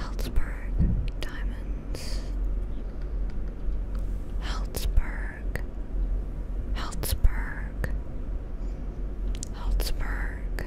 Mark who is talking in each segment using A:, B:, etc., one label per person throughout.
A: Helzberg diamonds. Helzberg. Helzberg. Helzberg.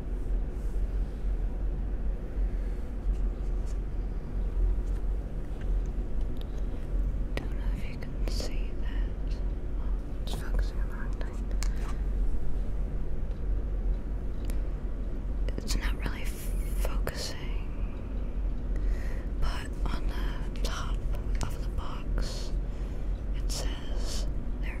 A: Don't know if you can see that. it's focusing It's not really focusing, but on the top of the box, it says there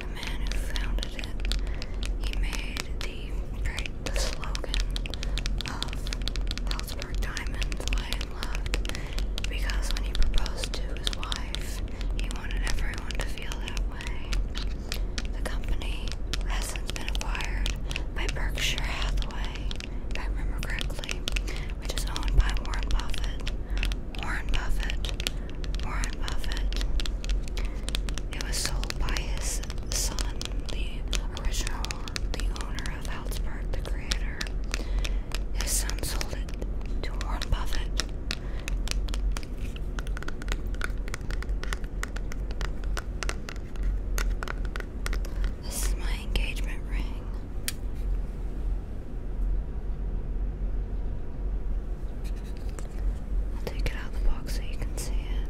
A: the man who founded it, he made the right, slogan of Salzburg Diamonds, Lie in Love, because when he proposed to his wife, he wanted everyone to feel that way. The company has since been acquired by Berkshire Hathaway, if I remember correctly, which is owned by Warren Buffett. Warren Buffett. Warren Buffett. It was sold by his son, the original, the owner of Halsberg, the creator. His son sold it to Warren Buffett. This is my engagement ring. I'll take it out of the box so you can see it.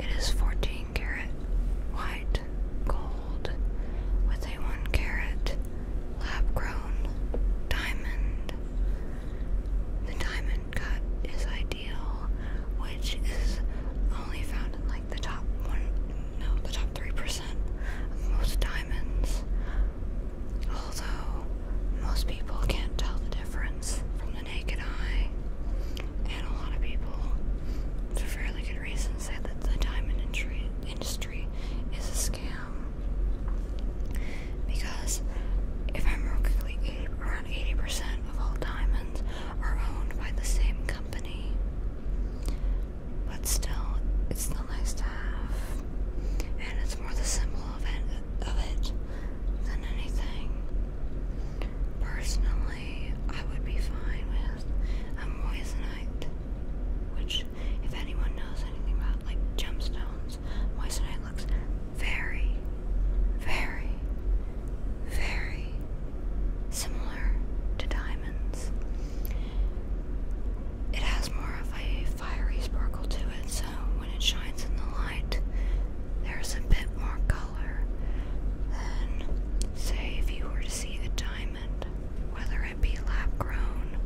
A: It is 14 karat white gold with a 1 karat lab grown diamond. The diamond cut is ideal, which is only found in like the top one, no, the top 3% of most diamonds. Although most people can't tell the difference from the naked eye, and a lot of people, for fairly good reasons, say that the diamond industry is a because if I'm wrong, around 80% of all diamonds are owned by the same company. But still, it's the nice to have, and it's more the symbol of it, than anything. Personally, I would be fine with a moissanite, which if anyone knows anything about like gemstones, moissanite looks very, very, very similar to diamonds. It has more of a fiery sparkle to it, so when it shines in the light, there's a bit more color than, say, if you were to see a diamond whether it be lab grown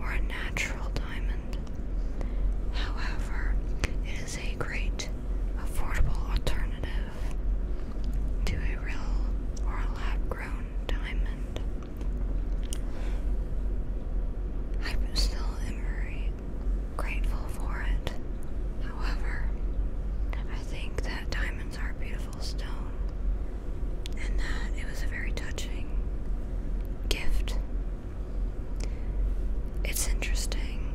A: or a natural diamond. However, it is a great affordable alternative to a real or lab grown diamond. I still am grateful for it. However, I think that diamonds are beautiful stone, and that it was a very touching gift. It's interesting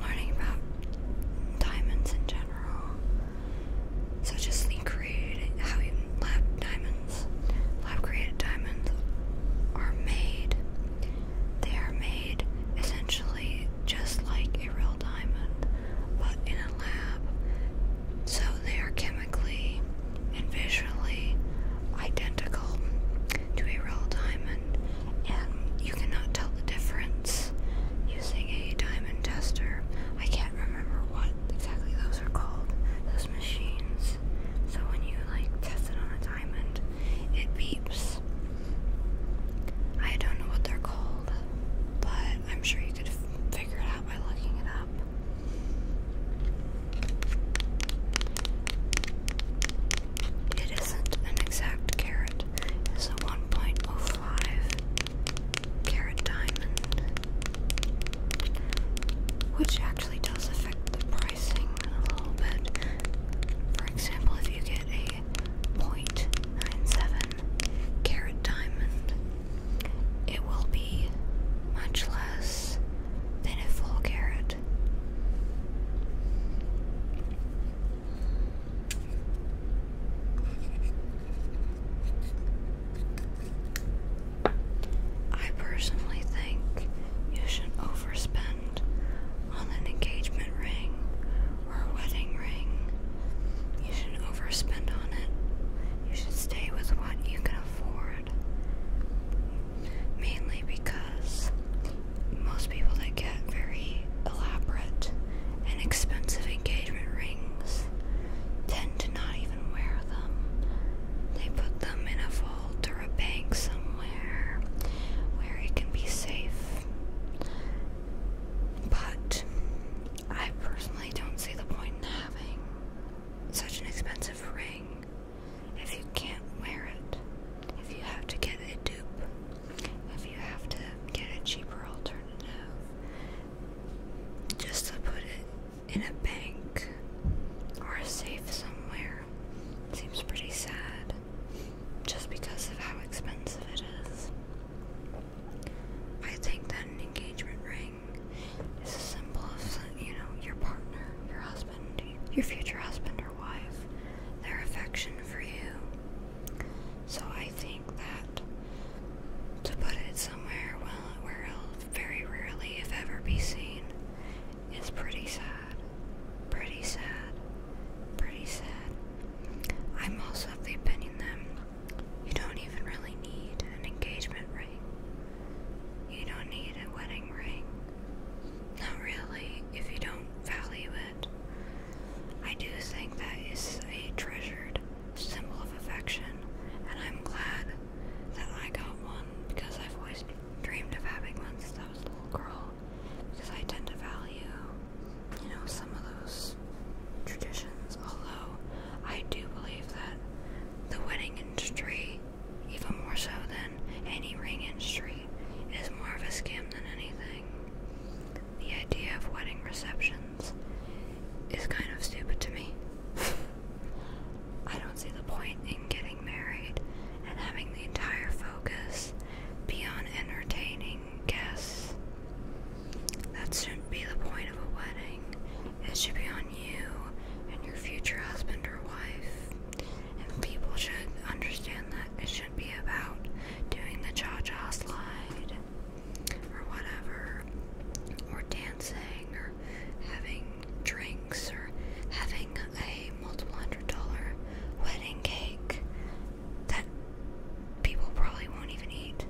A: learning about diamonds in general, So, just the creating how you lab diamonds, lab created diamonds are made. They are made essentially just like a real diamond, but in a lab so they are chemically and visually identical to a real diamond, and you cannot tell the difference using a diamond tester. I can't remember what exactly those are called, those machines. So when you like test it on a diamond, it beeps. I don't know what they're called, but I'm sure you could figure it out by looking it up. It isn't an exact carat, it's a 1.05 carat diamond, which actually does affect the pricing a little bit. For example, if you get a 0.97 Carat Diamond, it will be much less than a full carat. I personally think you should overspend on an engagement ring or a wedding ring. You shouldn't overspend on it. You should stay with what you can afford. Mainly because most people that get very elaborate and expensive engagement rings tend to not even wear them. They put them in a vault or a bank somewhere where it can be safe. But I personally don't see the point in having such an expensive ring if you can't wear it, if you have to get a dupe, if you have to get a cheaper alternative just to put it in a bank or a safe somewhere. Seems pretty sad just because of how expensive it is. I think that an engagement ring is a symbol of, you know, your partner, your husband, your future husband or wife, their affection for you. So I think that to put it somewhere where it very rarely, if ever, be seen is pretty sad. Pretty sad. Pretty sad. I'm also of the opinion that you don't even really need an engagement ring. You don't need a wedding ring. Not really, if you don't value it. I do think that is a treasured symbol of affection, and I'm glad that I got one because I've always dreamed of having one since I was a little girl because I tend to value, you know, some of those traditions. Although I do believe that the wedding industry, even more so than any ring industry, is more of a scam than anything. The idea of wedding receptions is kind of stupid to me. I don't see the point in getting married and having the entire focus be on entertaining Guess That shouldn't be the point of a wedding. It should be on you and your future husband or wife. And people should understand that it should not be about doing the cha cha slide or whatever, or dancing, or having drinks, or having a multiple hundred dollar wedding cake that people probably won't even eat.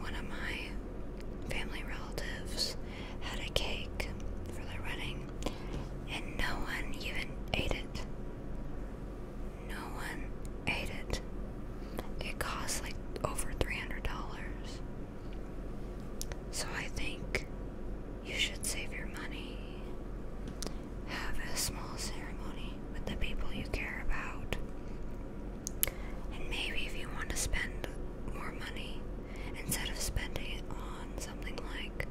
A: One of my family relatives had a cake for their wedding, and no one even ate it. No one ate it. It cost like over $300. So I think you should save your money have a small ceremony with the people you care about. And maybe if you want to spend more money, instead of spending it on something like,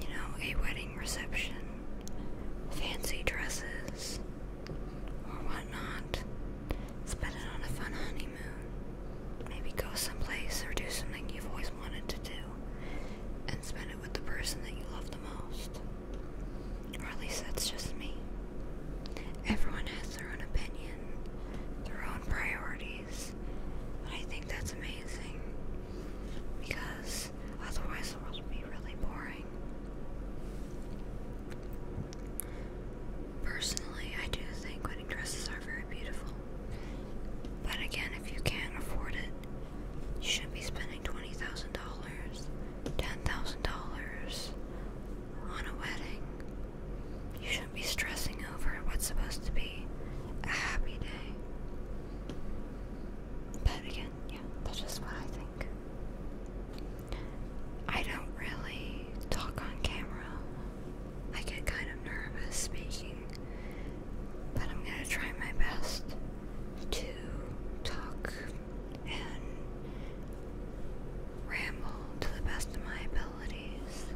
A: you know, a wedding reception, fancy dresses, or whatnot, spend it on a fun honeymoon. Maybe go someplace or do something you've always wanted to do and spend it with the person that you love the most. Or at least that's just me. Everyone has their own opinion, their own priorities, but I think that's amazing because otherwise the world would be really boring. Personally, I do think wedding dresses are very beautiful. But again, if you can't afford it, you shouldn't be spending $20,000, $10,000 on a wedding. You shouldn't be stressing over what's supposed to be a happy day. But again, yeah, that's just what I think. I don't really talk on camera I get kind of nervous speaking, but I'm going to try my best to talk and ramble to the best of my abilities.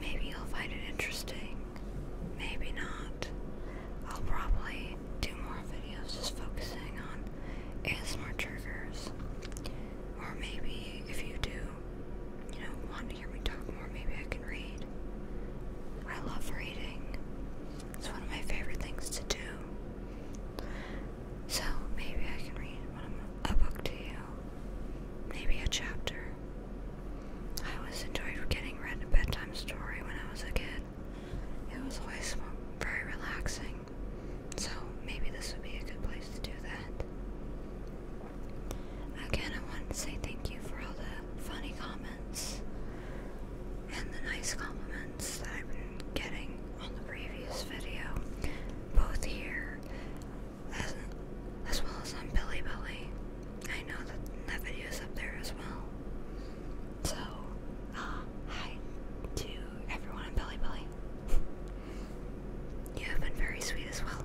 A: Maybe you'll find it interesting, maybe not. I'll probably do more videos just focusing on ASMR triggers. Or maybe if you do you know, want to hear me talk more, maybe I can read. I love reading. It's one of my favorite things to do. So maybe I can read a book to you. Maybe a chapter. I always enjoyed getting read a bedtime story when I was a kid. It was always very relaxing. So maybe this would be a good place to do that. Again, I want to say thank you for all the funny comments and the nice compliments that I've been getting on the previous video, both here as, well as on Billy Billy. I know that that video is up there as well. So, uh, hi to everyone on Billy Billy. you have been very sweet as well.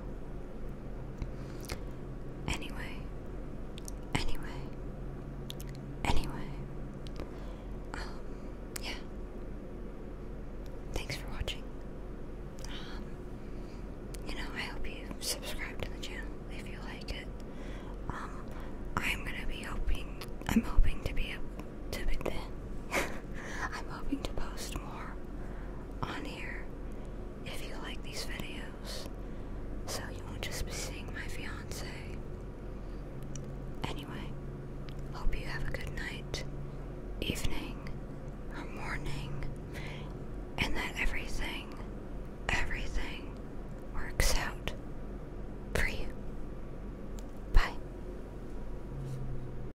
A: Anyway, anyway, anyway, um, yeah. Thanks for watching. Um, you know, I hope you subscribe to the channel if you like it. Um, I'm gonna be hoping. I'm hoping to be able to be. I'm hoping to post more on here if you like these videos so you won't just be seeing my fiance. Anyway, hope you have a good night, evening, or morning, and that everything, everything works out for you. Bye.